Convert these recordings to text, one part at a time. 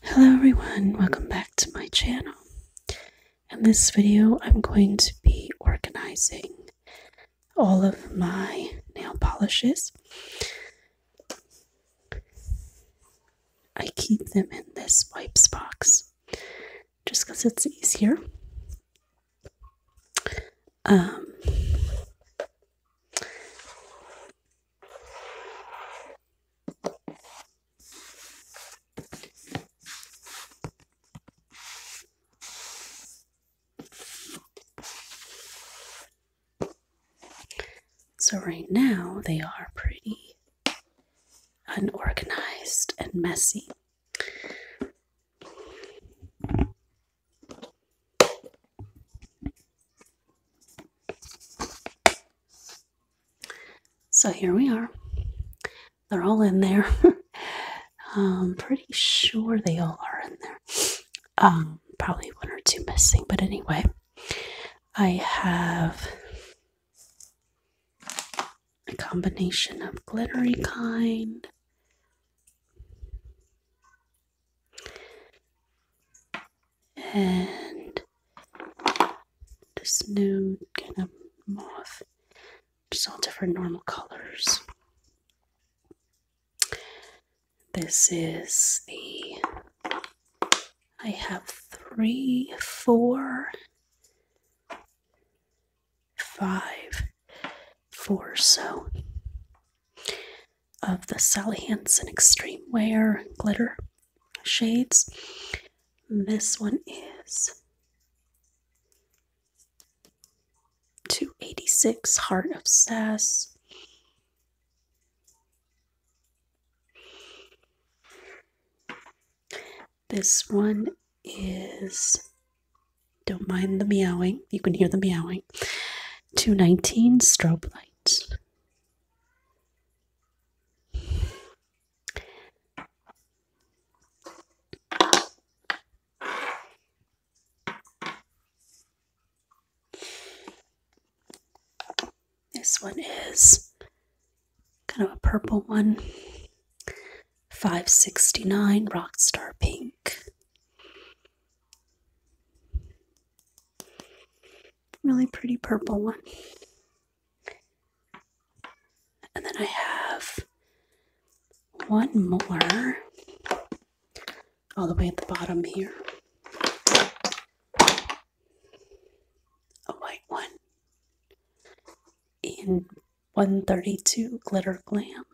Hello everyone, welcome back to my channel. In this video, I'm going to be organizing all of my nail polishes. I keep them in this wipes box just because it's easier. Um, so, right now, they are pretty unorganized and messy. So here we are. They're all in there. I'm pretty sure they all are in there. Um, probably one or two missing, but anyway, I have a combination of glittery kind and this new kind of moth. Just all different normal colors. This is the. I have three, four, five, four so of the Sally Hansen Extreme Wear glitter shades. This one is 286 Heart Obsess. This one is Don't Mind the Meowing. You can hear the meowing. 219 Strobe Lights. This one is kind of a purple one. 569 Rockstar Pink really pretty purple one. And then I have one more all the way at the bottom here. A white one in 132 Glitter Glam.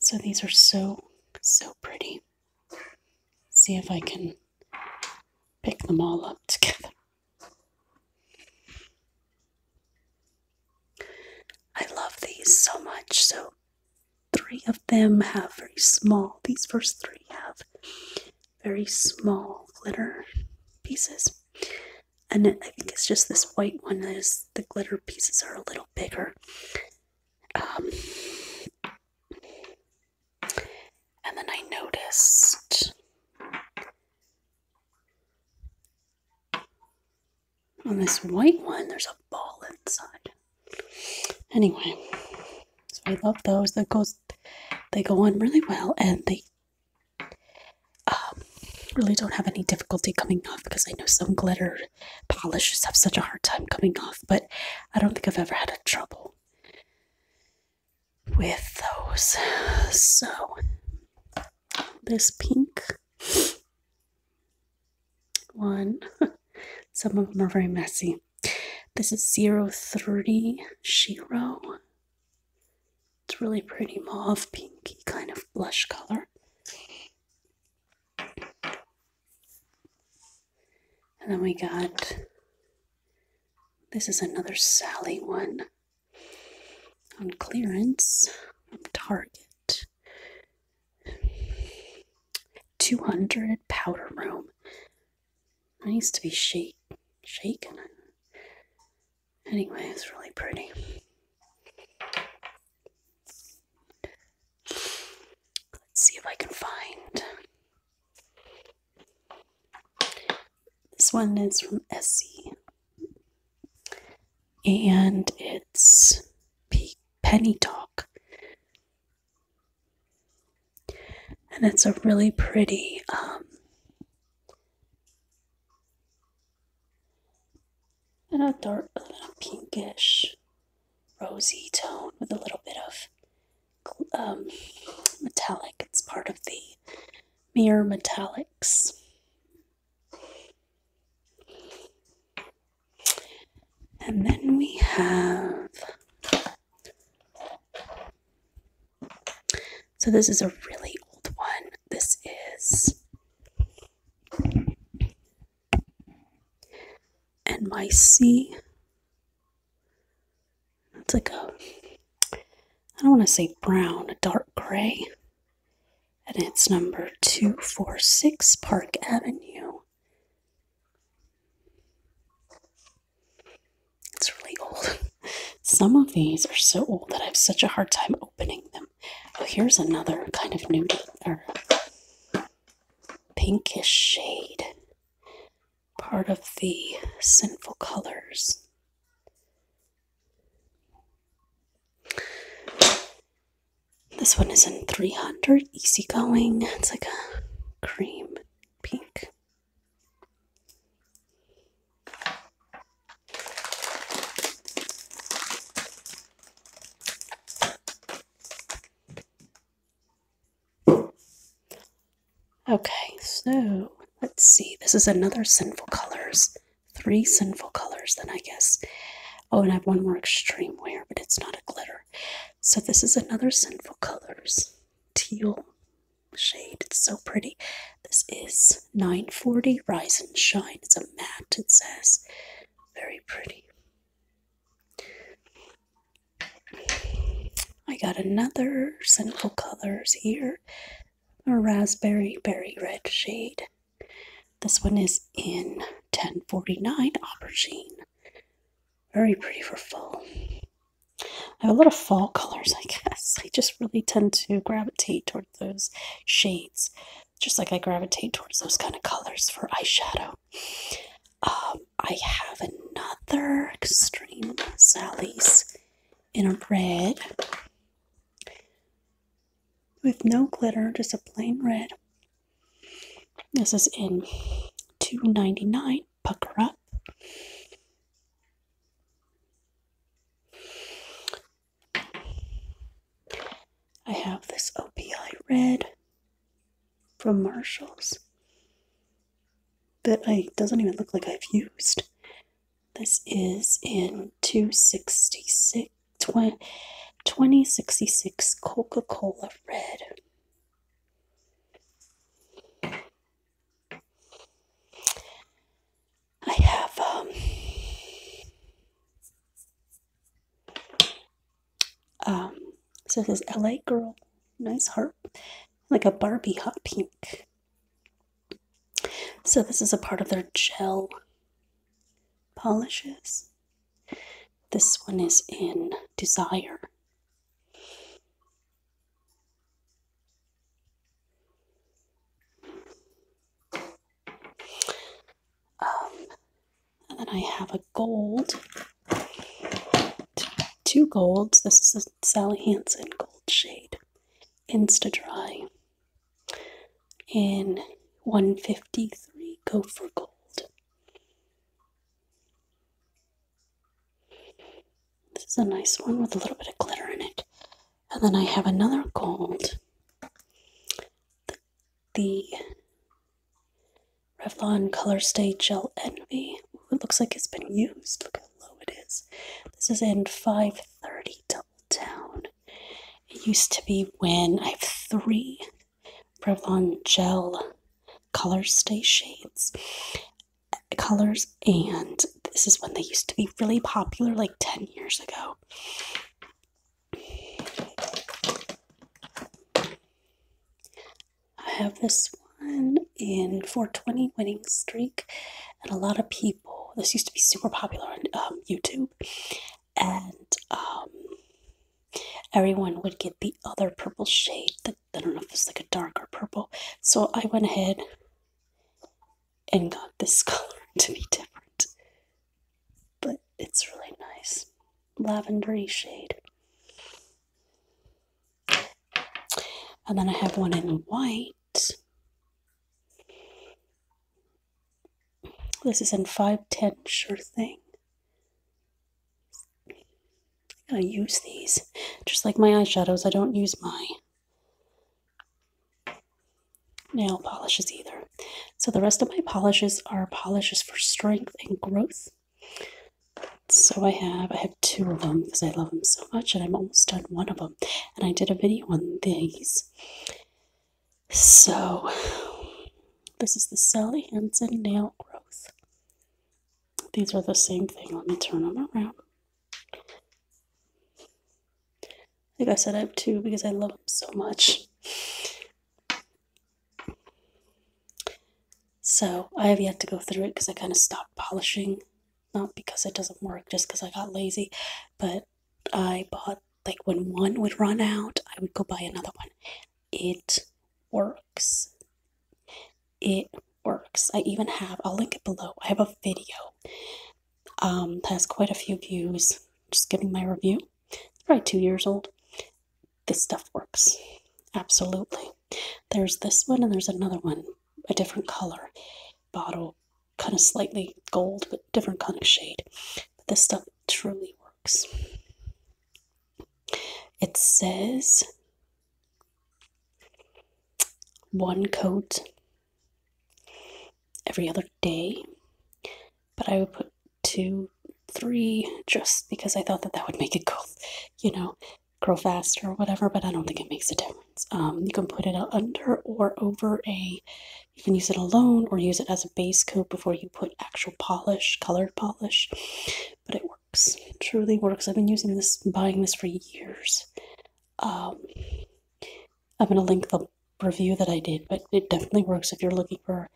So these are so, so pretty. See if I can pick them all up together. I love these so much. So three of them have very small, these first three have very small glitter pieces and I think it's just this white one that is the glitter pieces are a little bigger. Um, and then I noticed on this white one there's a ball inside. Anyway, so I love those. That goes they go on really well and they um, really don't have any difficulty coming off because I know some glitter polishes have such a hard time coming off, but I don't think I've ever had a trouble with those. So this pink one, some of them are very messy. This is 030 it's really pretty mauve pinky kind of blush color. And then we got this is another Sally one on clearance from Target. 200 powder room. needs to be shake, shaken. Anyway, it's really pretty. Let's see if I can find. This one is from Essie. And it's Penny Talk. And it's a really pretty um, and a dark, a little pinkish, rosy tone with a little bit of um, metallic. It's part of the mirror metallics. And then we have. So, this is a really old one. This is and my C. It's like a, I don't want to say brown, a dark gray. And it's number 246 Park Avenue. It's really old. Some of these are so old that I have such a hard time opening them. Oh, here's another kind of nude or pinkish shade. Part of the Sinful Colors. This one is in 300, easygoing. It's like a cream pink. Okay, so let's see. This is another sinful colors. Three sinful colors, then I guess. Oh, and I have one more extreme wear, but it's not a glitter. So this is another sinful colors teal shade. It's so pretty. This is 940 Rise and Shine. It's a matte, it says. Very pretty. I got another Sinful Colors here, a raspberry berry red shade. This one is in 1049 Aubergine. Very pretty for fall. I have a lot of fall colors, I guess. I just really tend to gravitate toward those shades just like I gravitate towards those kind of colors for eyeshadow. Um, I have another Extreme Sally's in a red with no glitter, just a plain red. This is in 2.99. Pucker up. I have this OPI red from Marshalls that I doesn't even look like I've used. This is in 266 2066 Coca-Cola red. I have um, um so this is LA girl, nice heart, like a Barbie hot pink. So this is a part of their gel polishes. This one is in Desire. Um, and then I have a gold, two golds. This is Sally Hansen gold shade, Insta Dry, in 153 Go for Gold. This is a nice one with a little bit of glitter in it. And then I have another gold. The, the Revlon Color Stay Gel Envy. it looks like it's been used. Look how low it is. This is in 530 Double Down. It used to be when I have three Revlon Gel Color Stay shades colors and this is when they used to be really popular like 10 years ago I have this one in 420 winning streak, and a lot of people. This used to be super popular on um, YouTube, and um, everyone would get the other purple shade. That I don't know if it's like a darker purple. So I went ahead and got this color to be different. But it's really nice. Lavendery shade. And then I have one in white. This is in 510 Sure Thing. I use these. Just like my eyeshadows, I don't use my nail polishes either. So the rest of my polishes are polishes for strength and growth. So I have I have two of them because I love them so much and I'm almost done one of them. And I did a video on these. So this is the Sally Hansen Nail Growth. These are the same thing. Let me turn them around. Like I said, I have two because I love them so much. So I have yet to go through it because I kind of stopped polishing. Not because it doesn't work, just because I got lazy. But I bought, like, when one would run out, I would go buy another one. It works. It works. I even have, I'll link it below. I have a video um, has quite a few views. Just giving my review. It's probably two years old. This stuff works. Absolutely. There's this one and there's another one, a different color bottle, kind of slightly gold, but different kind of shade. But this stuff truly works. It says one coat every other day, but I would put two, three just because I thought that that would make it go, you know, grow faster or whatever, but I don't think it makes a difference. Um, you can put it under or over a, you can use it alone or use it as a base coat before you put actual polish, colored polish, but it works. truly works. I've been using this, buying this for years. Um, I'm going to link the review that I did, but it definitely works if you're looking for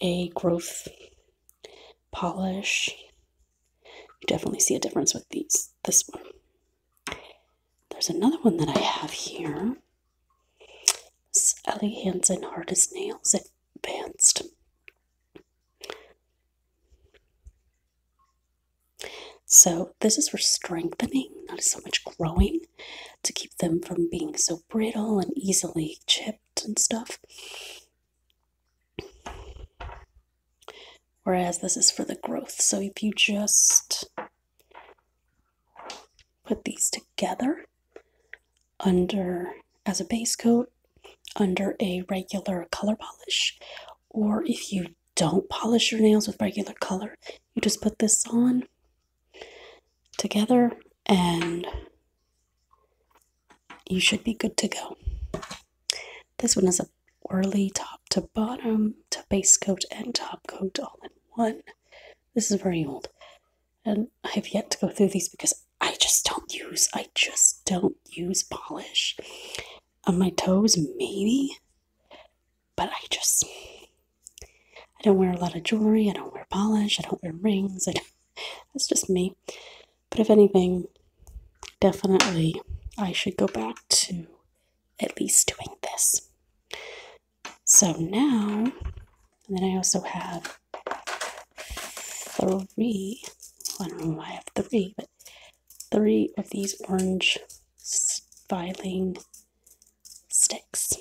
a growth polish. You definitely see a difference with these. This one. There's another one that I have here. It's Ellie Hansen as Nails Advanced. So this is for strengthening, not so much growing to keep them from being so brittle and easily chipped and stuff. Whereas this is for the growth. So if you just put these together under as a base coat under a regular color polish or if you don't polish your nails with regular color you just put this on together and you should be good to go. This one is a whirly top to bottom to base coat and top coat all in one. This is very old and I have yet to go through these because I just don't use, I just don't use polish on my toes, maybe but I just I don't wear a lot of jewelry. I don't wear polish. I don't wear rings. I don't, that's just me. But if anything, definitely I should go back to at least doing this. So now, and then I also have three. I don't know why I have three, but three of these orange filing sticks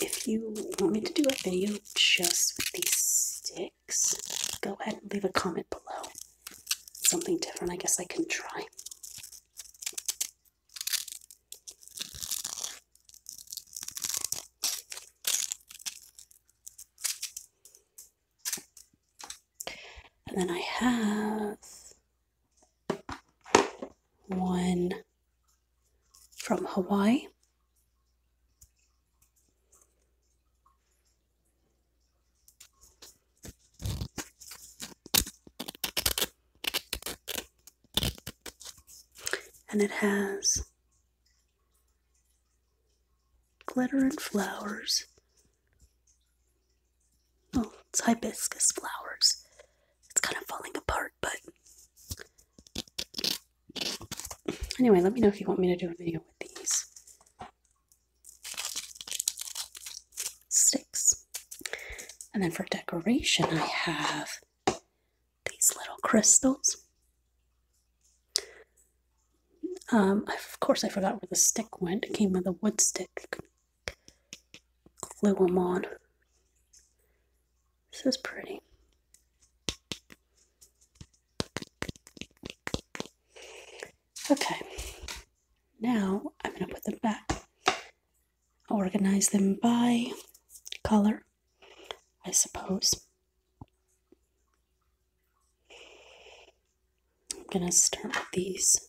if you want me to do a video just with these sticks, go ahead and leave a comment below. Something different, I guess I can try. And then I have one from Hawaii. And it has glitter and flowers. Oh, it's hibiscus flowers. It's kind of falling apart, but Anyway, let me know if you want me to do a video with these sticks. And then for decoration, I have these little crystals. Um, of course, I forgot where the stick went. It came with a wood stick. Glue them on. This is pretty. Okay, now I'm going to put them back. organize them by color, I suppose. I'm going to start with these.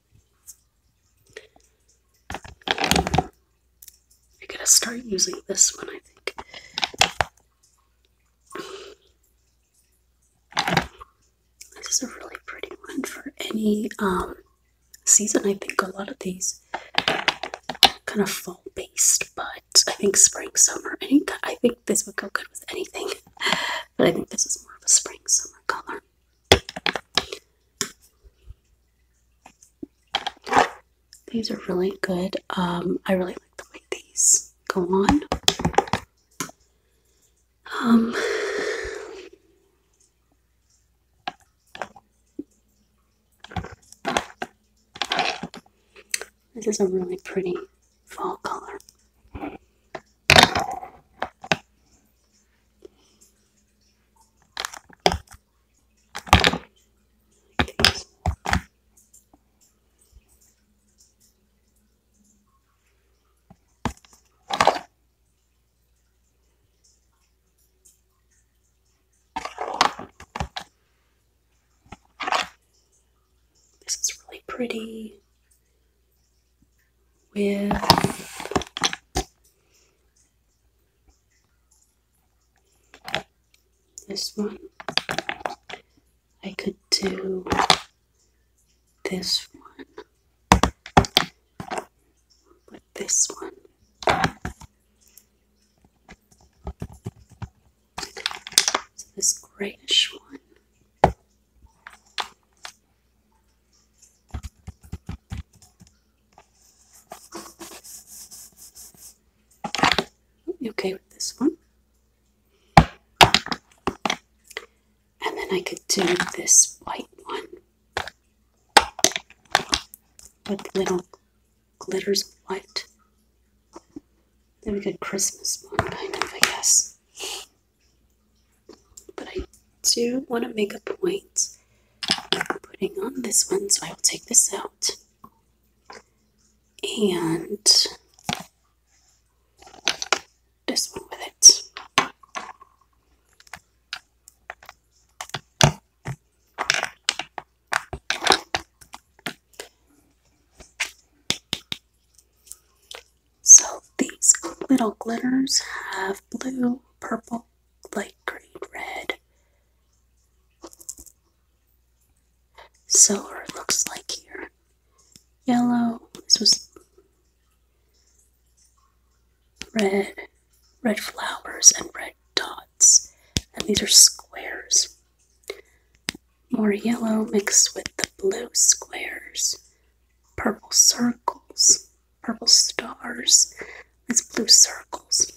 I am going to start using this one, I think. This is a really pretty one for any um, season. I think a lot of these kind of fall based, but I think spring, summer, any, I think this would go good with anything. But I think this is more of a spring, summer color. These are really good. Um, I really like the way these go on. Um, this is a really pretty fall color. This is really pretty with this one. I could do this one with this one. So this grayish one. You okay with this one? And then I could do this white one with little glitters of white. Then we could Christmas one, kind of, I guess. But I do want to make a point of putting on this one, so I will take this out. And this one with it. So these little glitters have blue, purple, light green red. So, it looks like here. Yellow, this was red, red flowers and red dots. And these are squares. More yellow mixed with the blue squares, purple circles, purple stars as blue circles.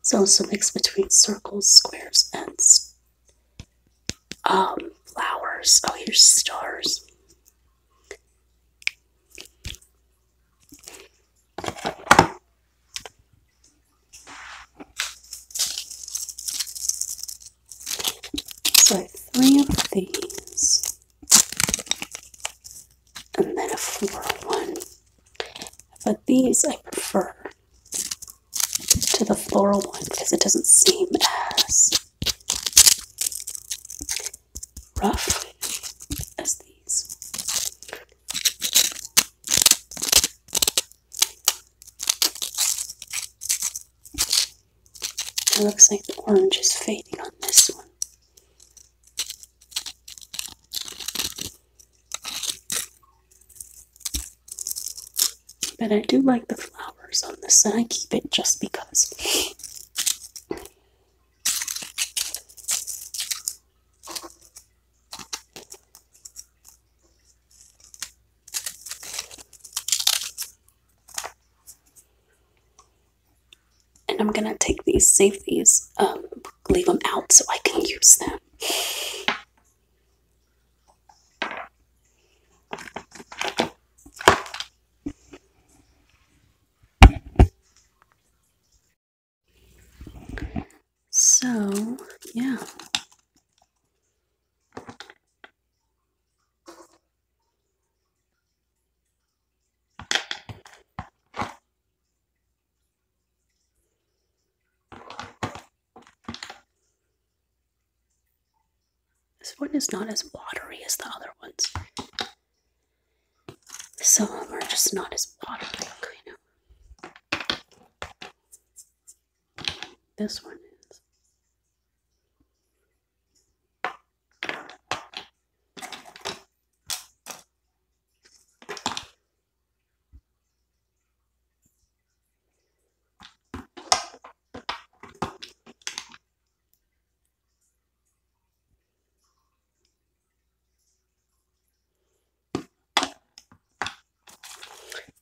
It's also a mix between circles, squares, and um, flowers. Oh, here's stars. So three of these and then a floral one. But these I prefer to the floral one because it doesn't seem as rough as these. It looks like the orange is fading on this one. But I do like the flowers on this and I keep it just because. And I'm gonna take these, save these, um, leave them out so I can use them. So, yeah. This one is not as watery as the other ones. Some of them are just not as watery, kind of. This one is.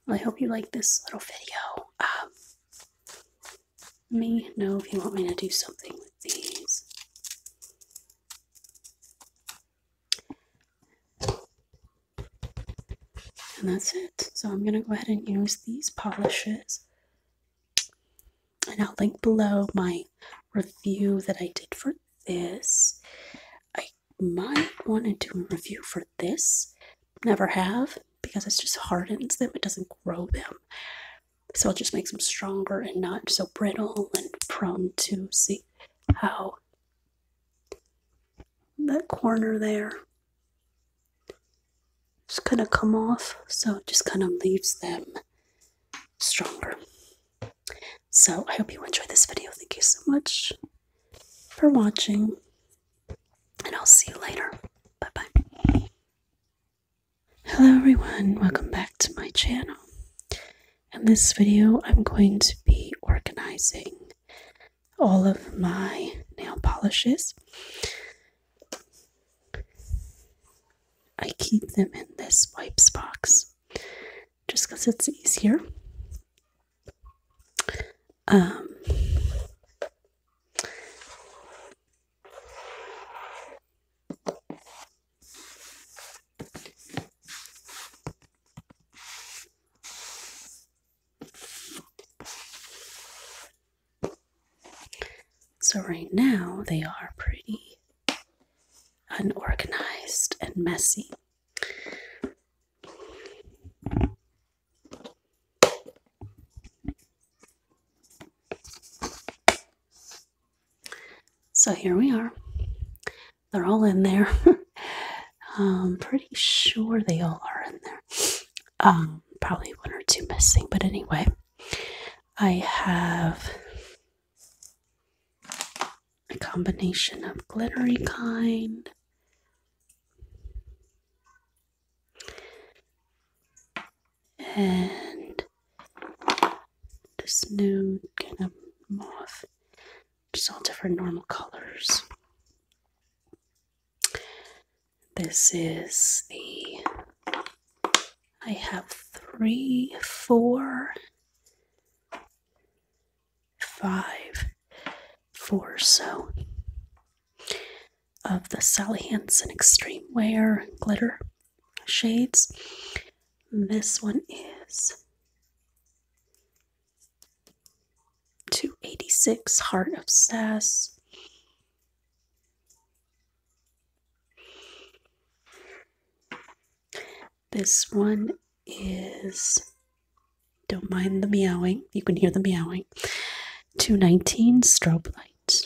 I hope you like this little video. Um, let me know if you want me to do something with these. And that's it. So I'm going to go ahead and use these polishes. And I'll link below my review that I did for this. I might want to do a review for this. Never have because it just hardens them. It doesn't grow them. So it just makes them stronger and not so brittle and prone to see how that corner there just kind of come off. So it just kind of leaves them stronger. So I hope you enjoyed this video. Thank you so much for watching and I'll see you later. Bye bye. Hello everyone, welcome back to my channel. In this video, I'm going to be organizing all of my nail polishes. I keep them in this wipes box just because it's easier. Um, so, right now, they are pretty unorganized and messy. So here we are. They're all in there. I'm um, pretty sure they all are in there. Um, probably one or two missing, but anyway, I have a combination of glittery kind and this new kind of moth. Just all different normal colors. This is the. I have three, four, five, four, so of the Sally Hansen Extreme Wear Glitter shades. This one is 286 Heart Obsess. This one is Don't Mind the Meowing. You can hear the meowing. 219 Strobe Light.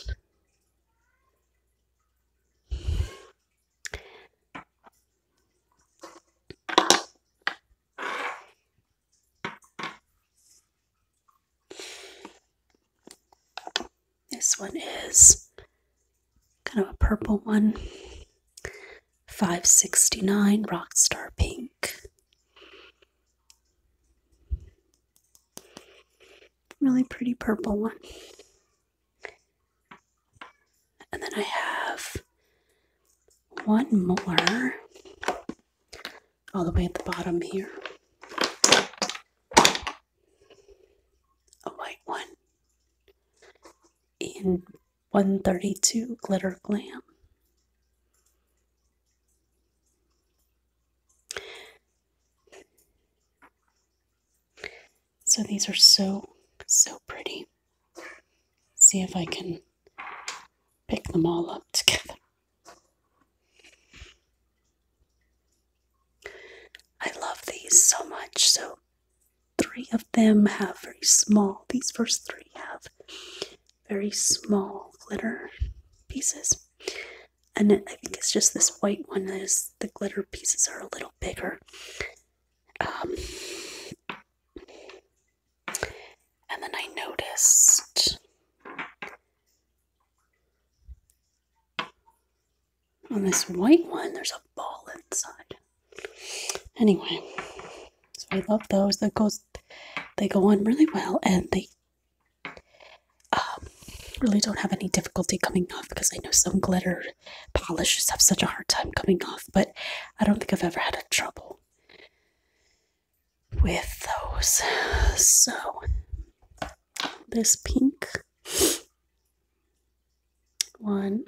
This one is kind of a purple one. 569 Rockstar Pink really pretty purple one. And then I have one more all the way at the bottom here. A white one in 132 Glitter Glam. So these are so, so pretty. See if I can pick them all up together. I love these so much. So three of them have very small, these first three have very small glitter pieces and I think it's just this white one is the glitter pieces are a little bigger. Um, and then I noticed on this white one, there's a ball inside. Anyway, so I love those. That goes, they go on really well, and they um, really don't have any difficulty coming off because I know some glitter polishes have such a hard time coming off, but I don't think I've ever had a trouble with those. So this pink one,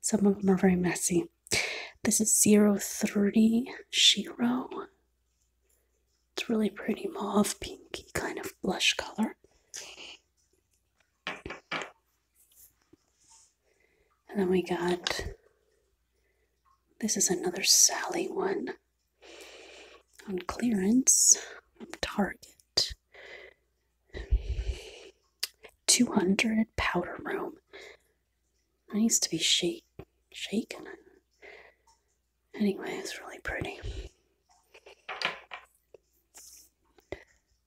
some of them are very messy. This is 030 it's really pretty mauve pinky kind of blush color. And then we got this is another Sally one on clearance from Target. 200 powder room. That needs to be shake, shaken. Anyway, it's really pretty.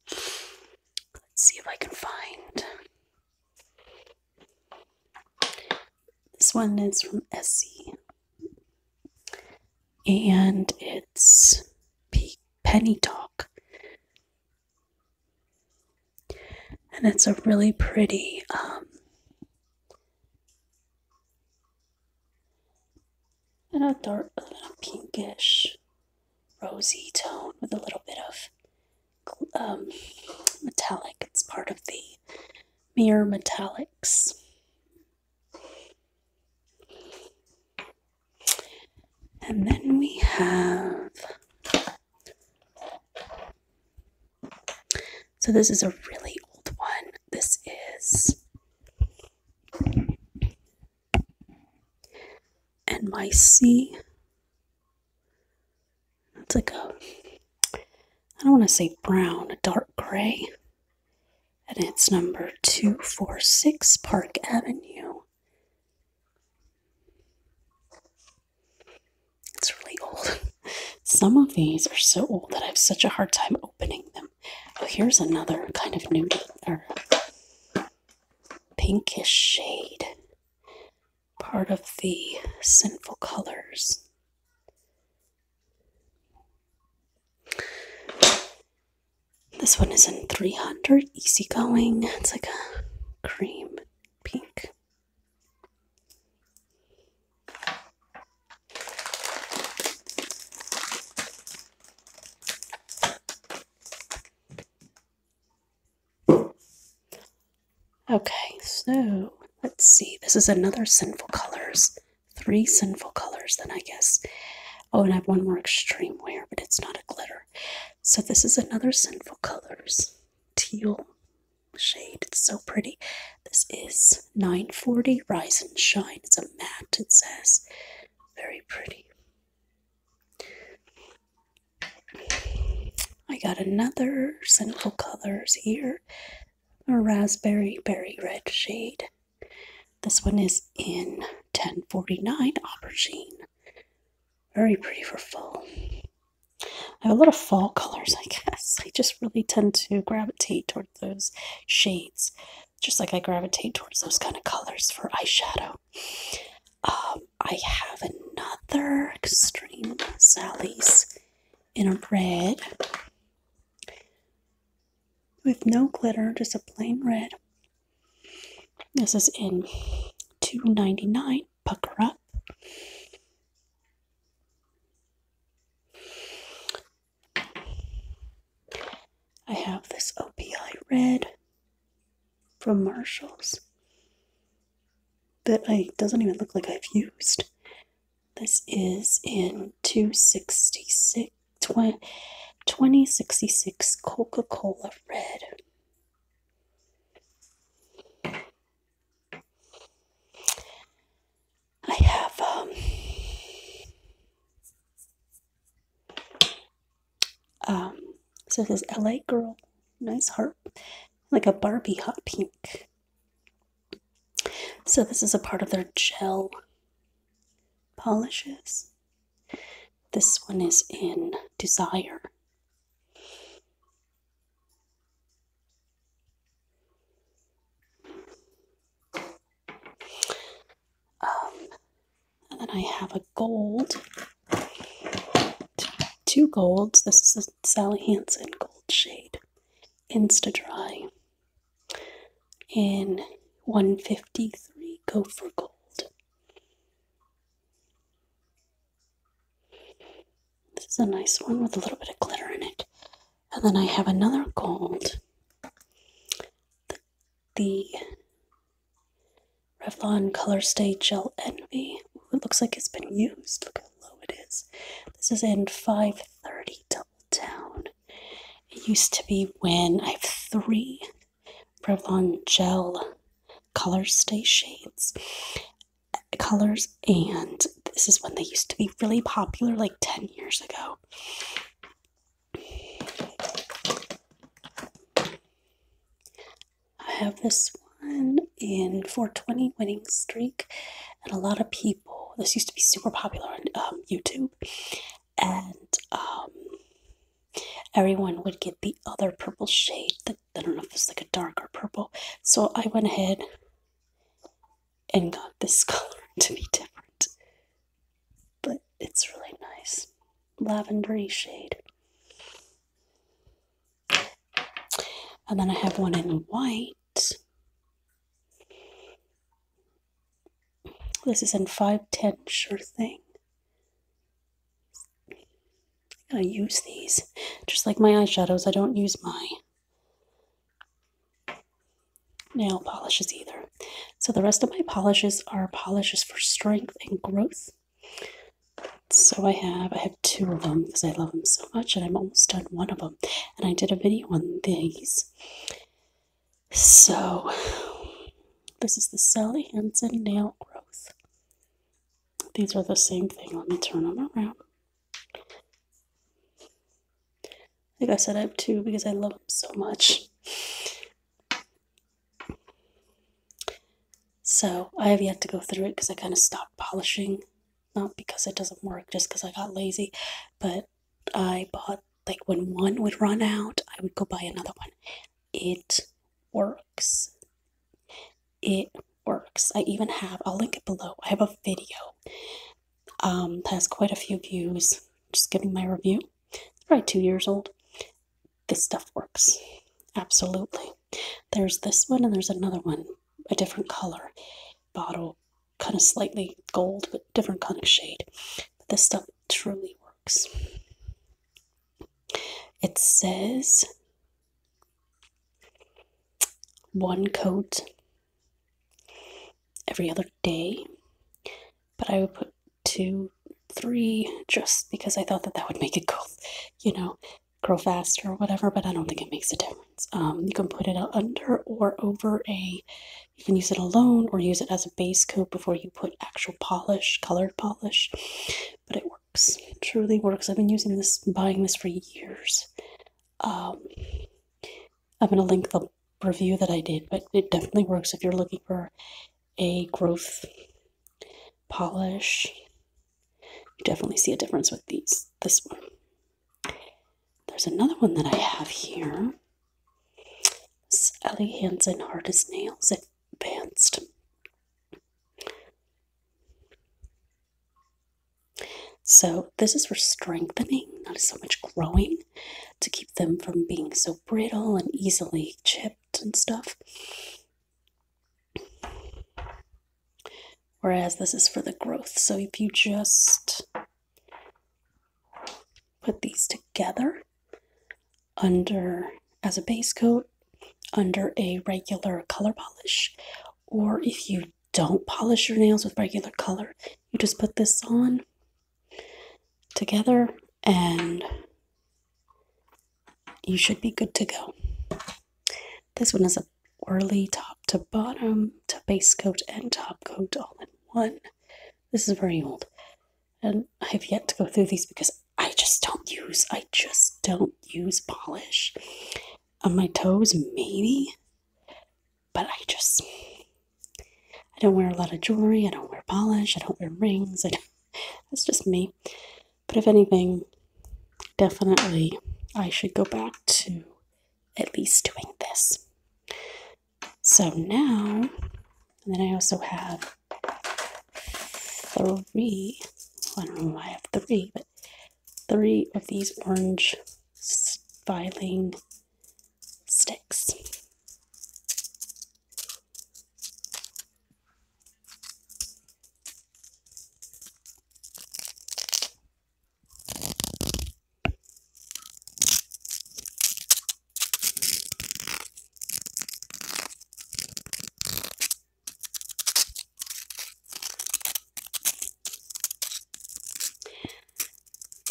Let's see if I can find. This one is from Essie. And it's P Penny Talk. And it's a really pretty um, and a dark, little pinkish, rosy tone with a little bit of um, metallic. It's part of the mirror metallics. And then we have so this is a really old one. This is and my C. It's like a I don't want to say brown, a dark gray. And it's number 246 Park Avenue. It's really old. Some of these are so old that I have such a hard time opening them. Oh, here's another kind of nudie or pinkish shade. Part of the sinful colors. This one is in 300, easygoing. It's like a cream pink. Okay, so let's see. This is another Sinful Colors. Three Sinful Colors, then I guess. Oh, and I have one more extreme wear, but it's not a glitter. So this is another Sinful Colors teal shade. It's so pretty. This is 940 Rise and Shine. It's a matte, it says. Very pretty. I got another Sinful Colors here, a raspberry berry red shade. This one is in 1049 Aubergine. Very pretty for fall. I have a lot of fall colors, I guess. I just really tend to gravitate towards those shades, just like I gravitate towards those kind of colors for eyeshadow. Um, I have another extreme Sally's in a red with no glitter, just a plain red. This is in two ninety nine. Pucker up. I have this OPI red from Marshalls that I doesn't even look like I've used. This is in 266 2066 Coca-Cola red. I have um, um so this LA girl, nice heart, like a Barbie hot pink. So this is a part of their gel polishes. This one is in Desire. Um, and then I have a gold, two golds. This is Sally Hansen gold shade, Insta Dry, in 153 Gopher Gold. This is a nice one with a little bit of glitter in it. And then I have another called The, the Revlon Color Stay Gel Envy. it looks like it's been used. Look how low it is. This is in 530 Double Down. It used to be when I have three Revlon Gel Color Stay shades uh, colors and this is when they used to be really popular like 10 years ago I have this one in 420 winning streak, and a lot of people. This used to be super popular on um, YouTube, and um, everyone would get the other purple shade. That I don't know if it's like a darker purple. So I went ahead and got this color to be different. But it's really nice. Lavendery shade. And then I have one in white. This is in 510 Sure Thing. I gotta use these. Just like my eyeshadows, I don't use my nail polishes either. So the rest of my polishes are polishes for strength and growth. So I have I have two of them because I love them so much and I'm almost done one of them. And I did a video on these. So this is the Sally Hansen Nail Growth. These are the same thing. Let me turn them around. Like I said, I have two because I love them so much. So I have yet to go through it because I kind of stopped polishing. Not because it doesn't work, just because I got lazy. But I bought, like, when one would run out, I would go buy another one. It works. It works. I even have, I'll link it below. I have a video um, has quite a few views. Just giving my review. It's probably two years old. This stuff works. Absolutely. There's this one and there's another one, a different color bottle, kind of slightly gold, but different kind of shade. But this stuff truly works. It says one coat every other day, but I would put two, three just because I thought that that would make it go, you know, grow faster or whatever, but I don't think it makes a difference. Um, you can put it under or over a, you can use it alone or use it as a base coat before you put actual polish, colored polish, but it works. truly works. I've been using this, buying this for years. Um, I'm going to link the review that I did, but it definitely works if you're looking for a growth polish. You definitely see a difference with these. This one. There's another one that I have here. It's Ellie Hansen as Nails Advanced. So this is for strengthening, not so much growing to keep them from being so brittle and easily chipped and stuff. Whereas this is for the growth. So if you just put these together under as a base coat under a regular color polish or if you don't polish your nails with regular color you just put this on together and you should be good to go. This one is a whirly top to bottom to base coat and top coat all in one. This is very old and I have yet to go through these because I just don't use, I just don't use polish on my toes, maybe. But I just, I don't wear a lot of jewelry. I don't wear polish. I don't wear rings. I don't, that's just me. But if anything, definitely I should go back to at least doing this. So now, and then I also have three, I don't know why I have three, but three of these orange filing sticks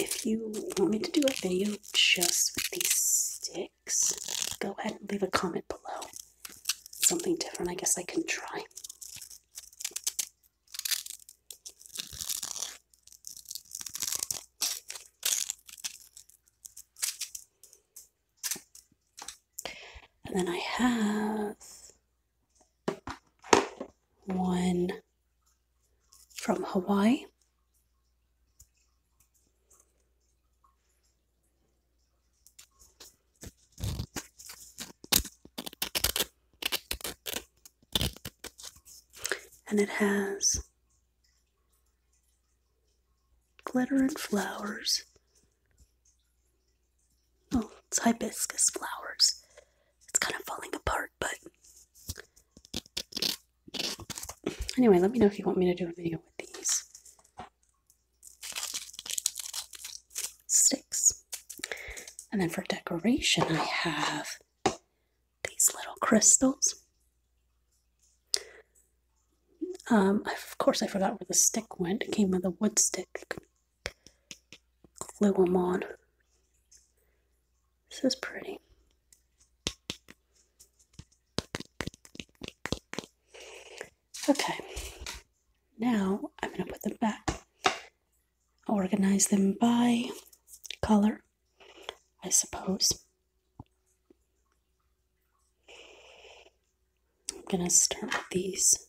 if you want me to do a video just with these sticks, go ahead and leave a comment below. Something different, I guess I can try. And then I have one from Hawaii. And it has glitter and flowers. Oh, it's hibiscus flowers. It's kind of falling apart, but Anyway, let me know if you want me to do a video with these sticks. And then for decoration, I have these little crystals. Um, of course, I forgot where the stick went. It came with a wood stick. Glue them on. This is pretty. Okay, now I'm going to put them back. Organize them by color, I suppose. I'm going to start with these.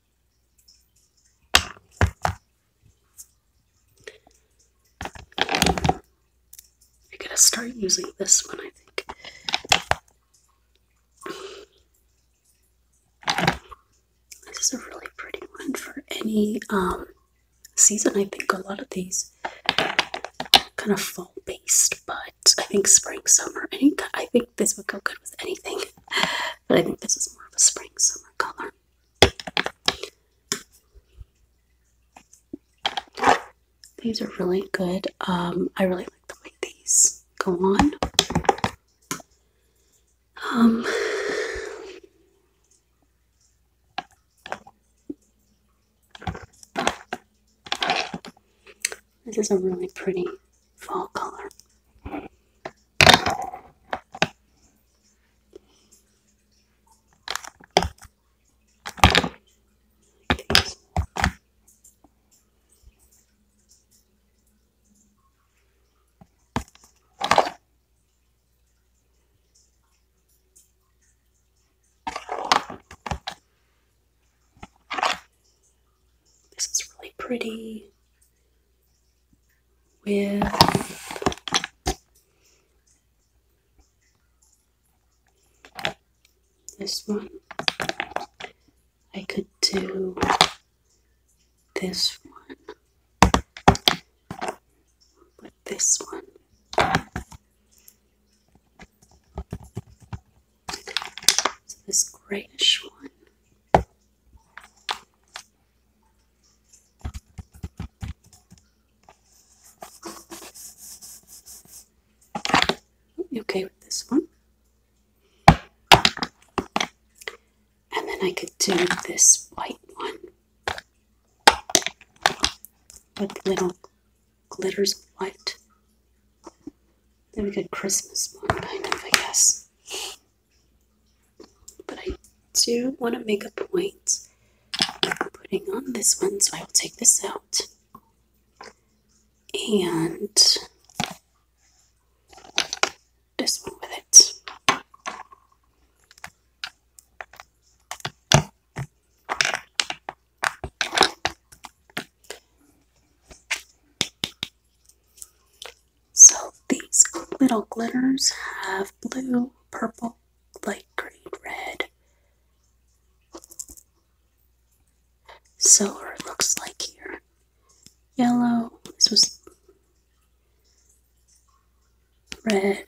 I am going to start using this one, I think. This is a really pretty one for any um, season. I think a lot of these kind of fall based, but I think spring, summer, any, I think this would go good with anything. But I think this is more of a spring, summer color. These are really good. Um, I really like the way these go on. Um, this is a really pretty fall color. This is really pretty with this one. I could do this one with this one. So this grayish one you okay with this one? And then I could do this white one with little glitters of white. Then we could Christmas one, kind of, I guess. But I do want to make a point of putting on this one, so I will take this out. And this one with it. So these little glitters have blue, purple, light green, red. So it looks like here. Yellow, this was red,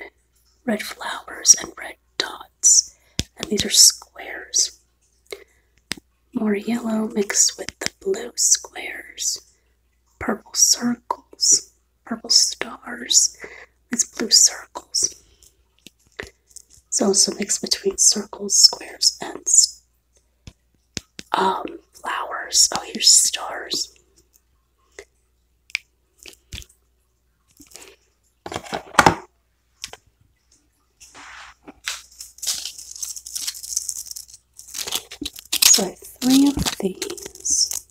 red flowers and red dots. And these are squares. More yellow mixed with the blue squares, purple circles purple stars, It's blue circles. It's also mixed between circles, squares, and um, flowers. Oh, here's stars. So three of these,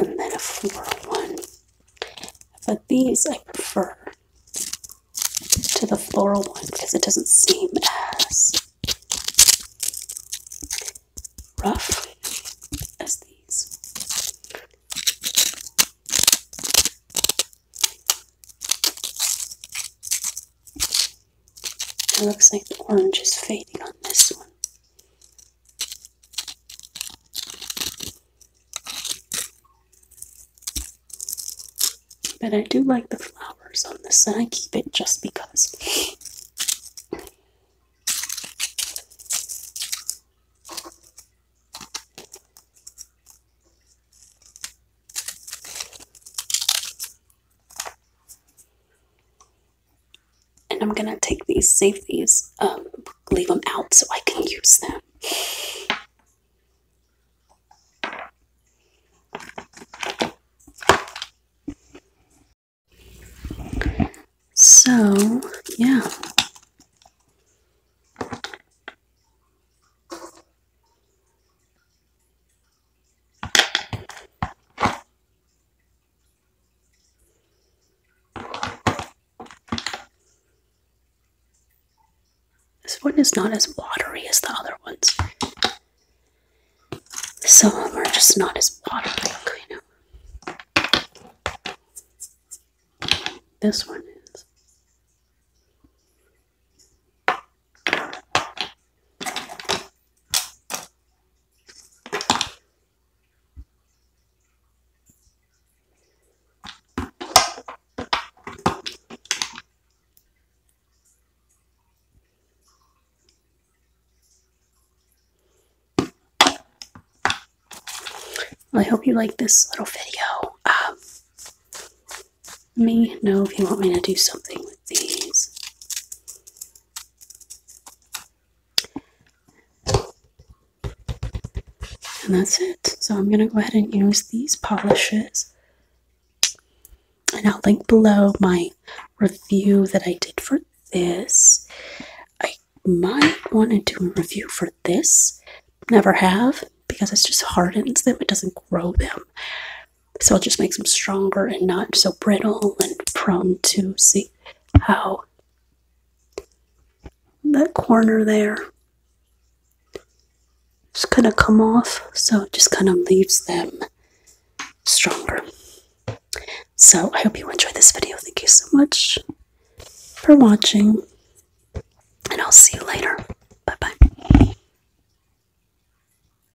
and then a floral one. But these I prefer to the floral one because it doesn't seem as rough as these. It looks like the orange is fading on this one. But I do like the flowers on this and I keep it just because. And I'm gonna take these, save these, um, leave them out so I can use them. So, yeah. This one is not as watery as the other ones. Some of them are just not as watery, This one is. I hope you like this little video. Um, let me know if you want me to do something with these. And that's it. So I'm going to go ahead and use these polishes. And I'll link below my review that I did for this. I might want to do a review for this. Never have because it just hardens them. It doesn't grow them. So it just makes them stronger and not so brittle and prone to see how that corner there is gonna come off. So it just kind of leaves them stronger. So I hope you enjoyed this video. Thank you so much for watching and I'll see you later. Bye bye.